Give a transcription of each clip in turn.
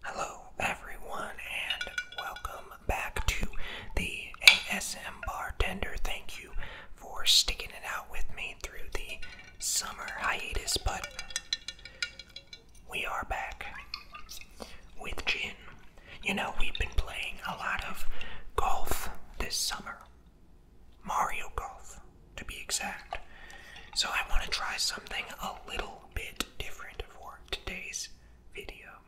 Hello, everyone, and welcome back to the ASM Bartender. Thank you for sticking it out with me through the summer hiatus, but we are back with gin. You know, we've been playing a lot of golf this summer. Mario Golf to be exact. So I want to try something a little bit different for today's video.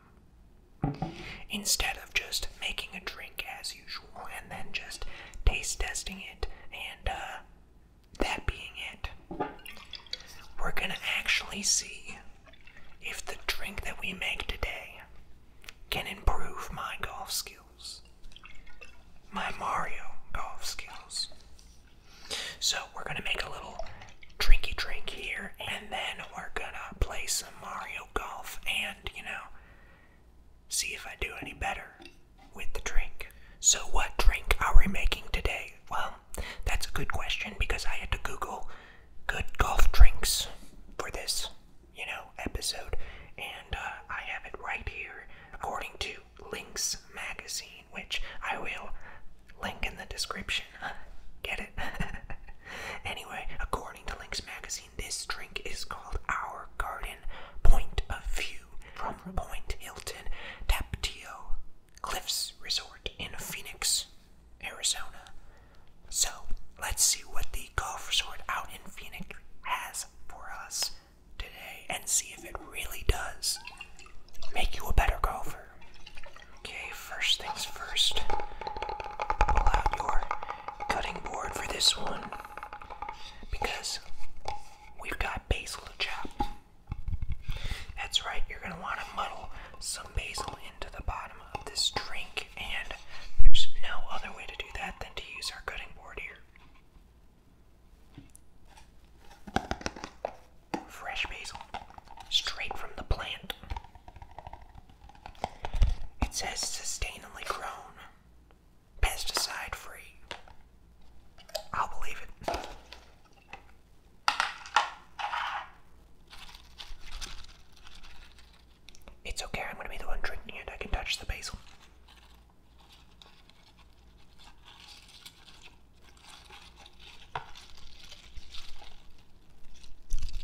Instead of just making a drink as usual and then just taste testing it and uh, that being it, we're gonna actually see if the drink that we make today can improve my golf skills, my Mario golf skills. So we're gonna make a little drinky drink here, and then we're gonna play some Mario Golf and, you know, see if I do any better with the drink. So what drink are we making today? Well, that's a good question because I had to Google good golf drinks for this, you know, episode, and uh, I have it right here. According to Links magazine, which I will link in the description. Get it? anyway, according to Links magazine, this drink is called Our Garden Point of View from Point Hilton Taptio Cliffs Resort in Phoenix, Arizona. So let's see what the golf resort out in Phoenix has for us today and see if it really does make you a better golfer. Okay, first things first, pull out your cutting board for this one because we've got basil to chop. That's right, you're going to want to muddle some basil into the bottom of this drink, and there's no other way to do that than to use our cutting board here. Fresh basil, straight from the plant. It says sustainably grown, pesticide free. I'll believe it. It's okay, I'm gonna be the one drinking it. I can touch the basil.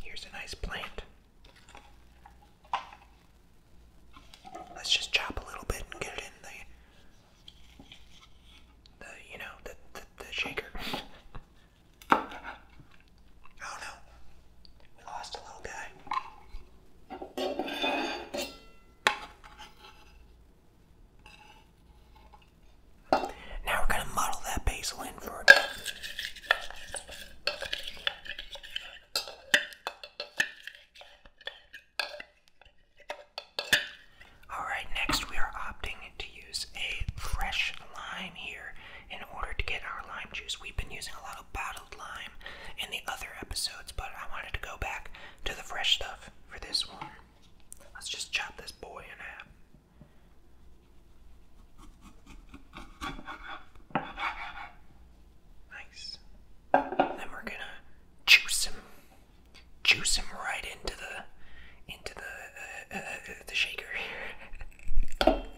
Here's a nice plant. Let's just chop a little bit and get it in the, the you know, the, the, the shaker. oh no, we lost a little guy. Now we're going to muddle that basil in for a bit. Alright, next we are opting to use a fresh lime here in order to get our lime juice. We've been using a lot of lime in the other episodes, but I wanted to go back to the fresh stuff for this one. Let's just chop this boy in half. Nice. Then we're gonna juice him, juice him right into the into the uh, uh, uh the shaker here.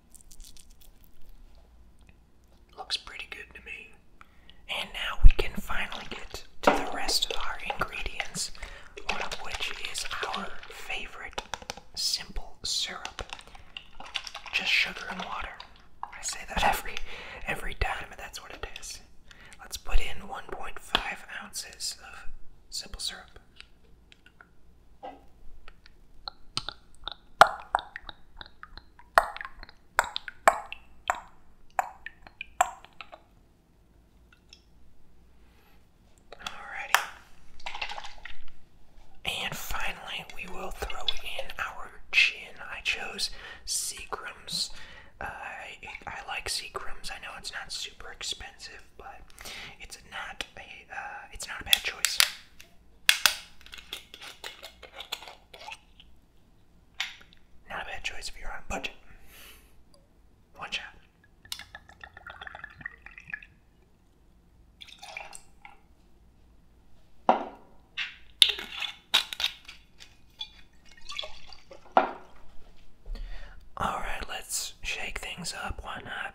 Looks pretty good to me. And now we can finally get to the rest of our ingredients, one of which is our favorite simple syrup. Just sugar and water. I say that every every time, and that's what it is. Let's put in 1.5 ounces of simple syrup. Alrighty. And finally, we will throw in our chin. I chose Seagram's. Uh, I, I like Seagram's. I know it's not super expensive, but it's not uh, it's not a bad choice. Not a bad choice if you're on budget. One shot. All right, let's shake things up. Why not?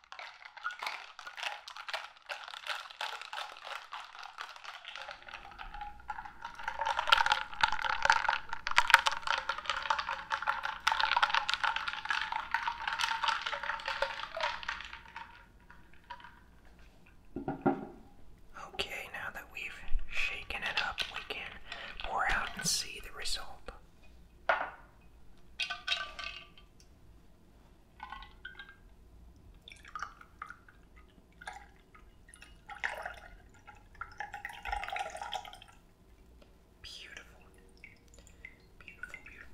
Okay, now that we've shaken it up, we can pour out and see the result.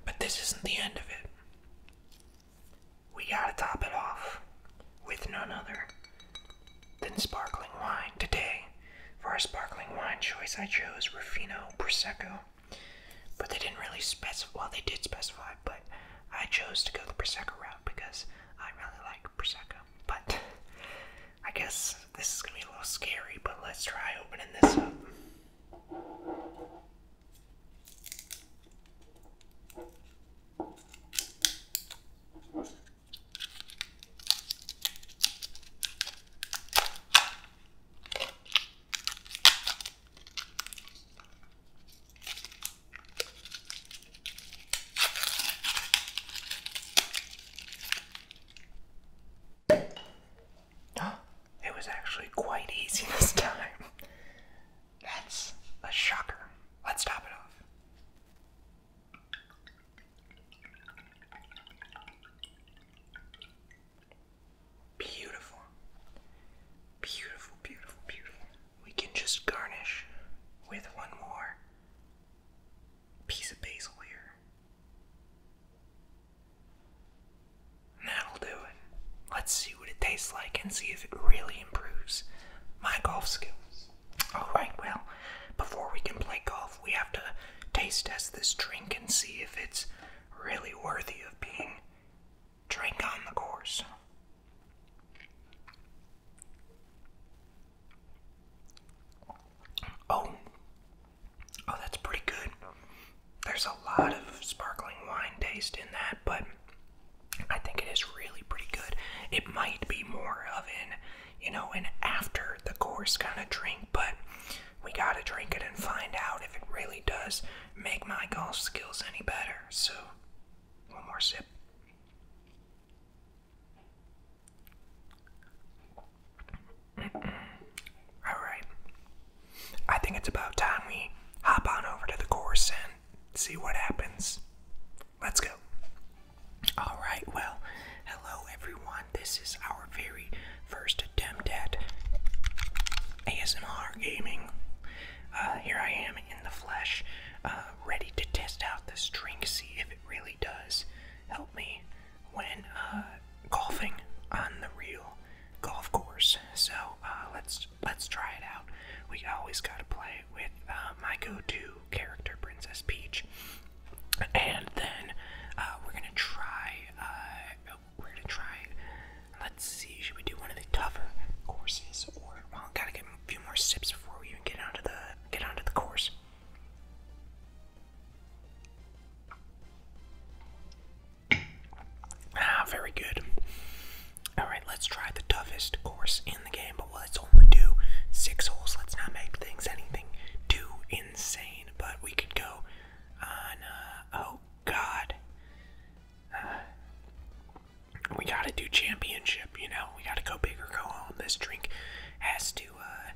But this isn't the end of it. We gotta top it off with none other than sparkling wine. Today, for our sparkling wine choice, I chose Rufino Prosecco. But they didn't really specify, well, they did specify, but I chose to go the Prosecco route because I really like Prosecco. But I guess this is gonna be a little scary, but let's try opening this up. It was actually quite easy this time. That's a shocker. Let's top it off. Beautiful. Beautiful, beautiful, beautiful. We can just garnish with one more piece of basil here. that'll do it. Let's see what it tastes like and see if it really improves my golf skills. Alright, well, before we can play golf, we have to taste test this drink and see if it's really worthy of being drink on the course. Oh, oh, that's pretty good. There's a lot of sparkling wine taste in that, but I think it is really pretty good. It might be more of an, you know, an after the course kind of drink, but we gotta drink it and find out if it really does make my golf skills any better. So, one more sip. Alright. I think it's about time we hop on over to the course and see what happens. Let's go. Alright, well, hello everyone this is our very first attempt at ASMR gaming. Uh, here I am in the flesh, uh, ready to test out this drink, see if it really does help me when uh, golfing on the real golf course. So let's let's try it out. We always gotta play with my go-to character, Princess Peach, and then we're gonna try we're gonna try. Let's see, should we do one of the tougher courses, or well, gotta get a few more sips before we even get onto the get onto the course. Ah, very good. All right, let's try the toughest course in the game, but let's only do six holes. Let's not make things anything too insane, but we could go oh god. Uh, we gotta do championship, you know. We gotta go big or go home. This drink has to, uh,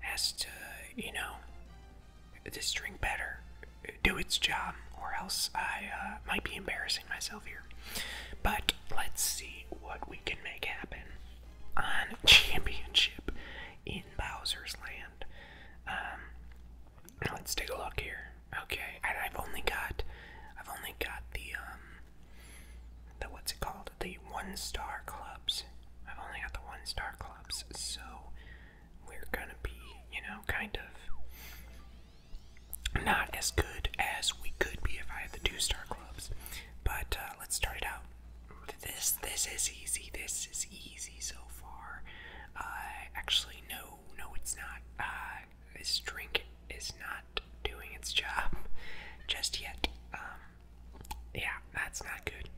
has to, you know, this drink better do its job, or else I uh, might be embarrassing myself here. But let's see what we can make happen on championship in Bowser's Land. Um, let's take a look here. Okay, I've only got, I've only got the um, the what's it called? The one star clubs. I've only got the one star clubs, so we're gonna be, you know, kind of not as good as we could be if I had the two star clubs. But uh, let's start it out this this is easy. This is easy so far. Uh, actually, no, no, it's not. Uh, this drink is not doing its job just yet. Um, yeah, that's not good.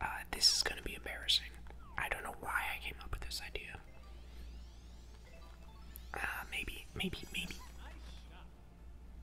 Uh, this is gonna be embarrassing. I don't know why I came up with this idea. maybe, maybe, maybe.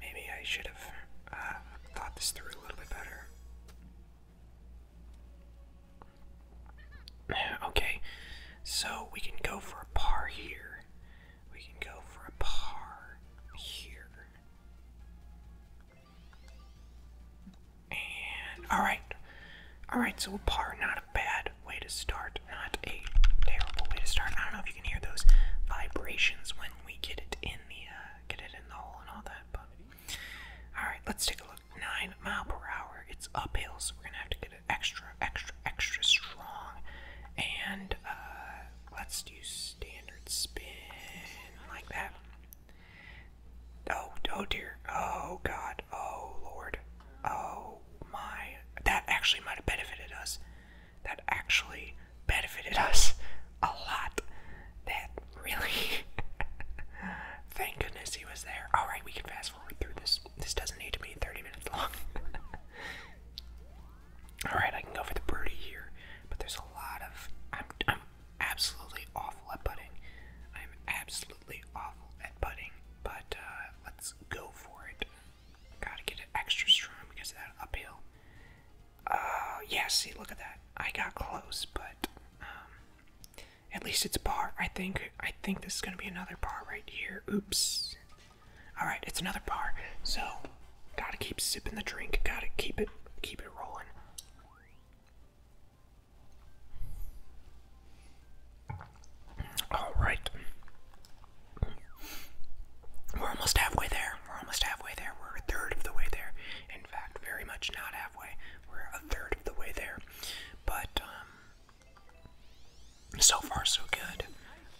Maybe I should have uh, thought this through a little bit better. Okay, so we can go for a par here. We can go for a par here. And, alright. Alright, so a par, not a bad way to start. Not a terrible way to start. I don't know if you can hear those vibrations when we get it in the, uh, get it in the hole and all that, but alright, let's take a look. 9 mile per hour. It's uphill, so we're gonna have to get it extra, extra, extra strong. And uh, let's do standard spin like that. Oh, oh dear. Oh god. Oh lord. Oh my. That actually might have benefited us that actually benefited us a lot. That really thank goodness he was there. Alright, we can fast forward through this. This doesn't need to be 30 minutes long. Alright, I can go for the birdie here, but there's a lot of I'm I'm absolutely awful at putting. I'm absolutely awful at putting, but uh let's go for it. Gotta get it extra strong because of that uphill. Uh, yeah, see, look at that. I got close, but um, at least it's a bar. I think I think this is gonna be another bar right here. Oops. All right, it's another bar. So gotta keep sipping the drink. Gotta keep it keep it rolling. All right. We're almost halfway there. We're almost halfway there. We're a third of the way there. In fact, very much not halfway. We're a third of the way there. But um, so far so good.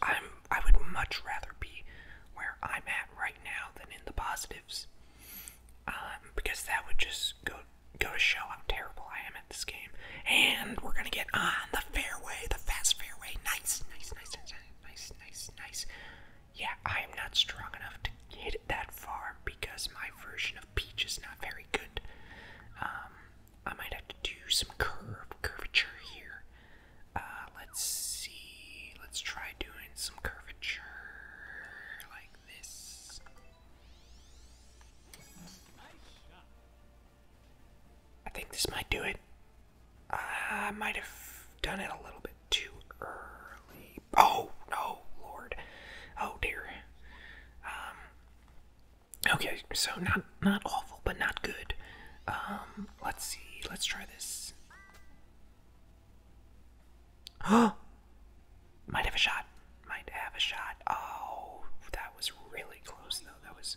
I'm I would much rather be where I'm at right now than in the positives. Um, because that would just go go to show how terrible I am at this game. And we're gonna get on the fairway, the fast fairway. Nice, nice, nice, nice nice, nice, nice. Yeah, I am not strong enough to hit it that far because my version of Peach is not very good. Um, I might have to do some curve curvature here. Uh, let's see. Let's try doing some curvature like this. I think this might do it. I might have done it a little bit too early. Oh, no, Lord. Oh, dear. Um, okay, so not, not awful, but not good. Um, let's see. Let's try this. Oh! Might have a shot. Might have a shot. Oh, that was really close, though. That was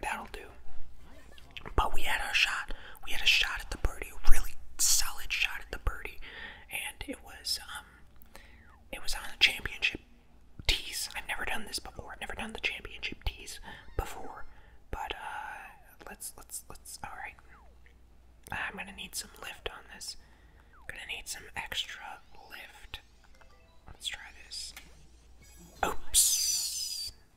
that'll do. But we had our shot. We had a shot at the birdie, a really solid shot at the birdie, and it was um, it was on a championship tees. I've never done this before. I've never done the championship tees before. But uh, let's let's let's. All right, I'm gonna need some lift on this. I'm gonna need some extra lift. Let's try this. Oops.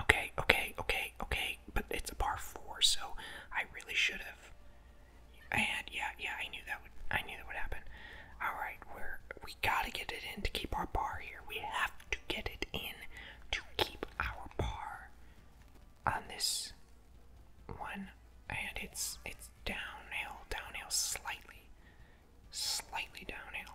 Okay, okay, okay, okay, but it's a par four, so I really should have. I had, yeah, yeah, I knew that would, I knew that would happen. All right, we're we gotta get it in to keep our par here. We have to get it in to keep our par on this one, and it's it's downhill, downhill slightly, slightly downhill.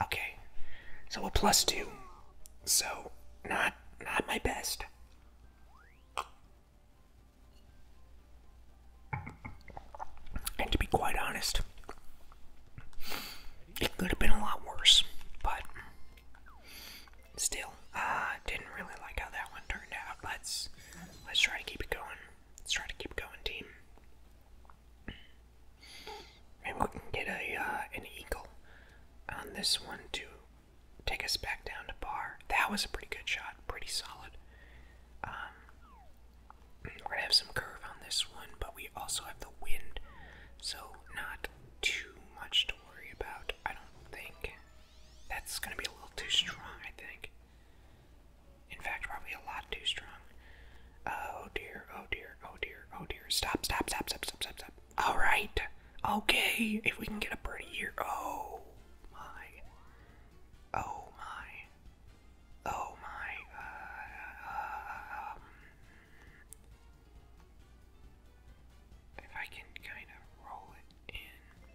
Okay. So a plus two. So not not my best. And to be quite honest, it could have been a lot worse, but still, uh, didn't really like how that one turned out. Let's let's try to keep it going. Let's try to keep going, team. Maybe we can get a uh, an eagle on this one to take us back down to par. That was a pretty good shot, pretty solid. Um, we're gonna have some curve on this one, but we also have the wind, so not too much to worry about. I don't think that's gonna be a little too strong. I think. In fact, probably a lot too strong. Oh dear, oh dear, oh dear, oh dear. Stop, stop, stop, stop, stop, stop, stop. Alright. Okay. If we can get a birdie here. Oh my. Oh my. Oh my. Uh, um. If I can kind of roll it in.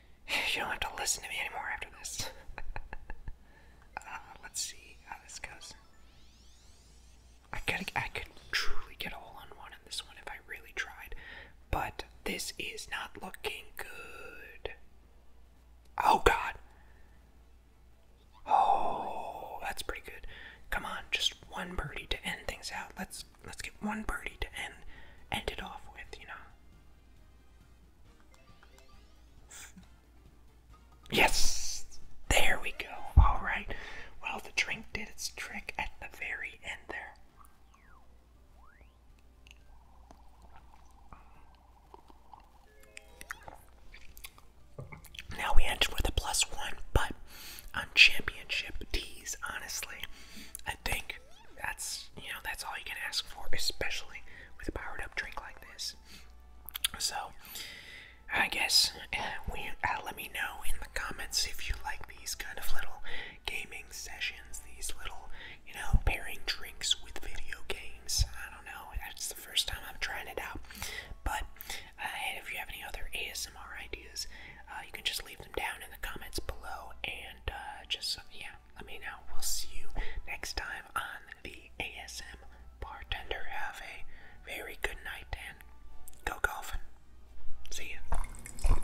you don't have to listen to me anymore after this. Uh, let's see how this goes. I could, I could truly get a hole on one in this one if I really tried, but this is not looking good. Oh God! Oh, that's pretty good. Come on, just one birdie to end things out. Let's let's get one birdie to end end it off with, you know. Yes! There we go. Alright. Well, the drink did its trick at the very end there. Now we ended with a plus one, but on championship tees, honestly, I think that's you know that's all you can ask for, especially with a powered up drink like this. So, I guess uh, uh, let me know in the comments if you like these kind of little gaming sessions, these little you know pairing drinks with video games. I don't know, it's the first time I'm trying it out, but uh, if you have any other ASMR ideas, uh, you can just leave them down in the comments below and uh, just yeah, let me know. We'll see you next time on the ASM Bartender. Have a very good night and go golfing. See you.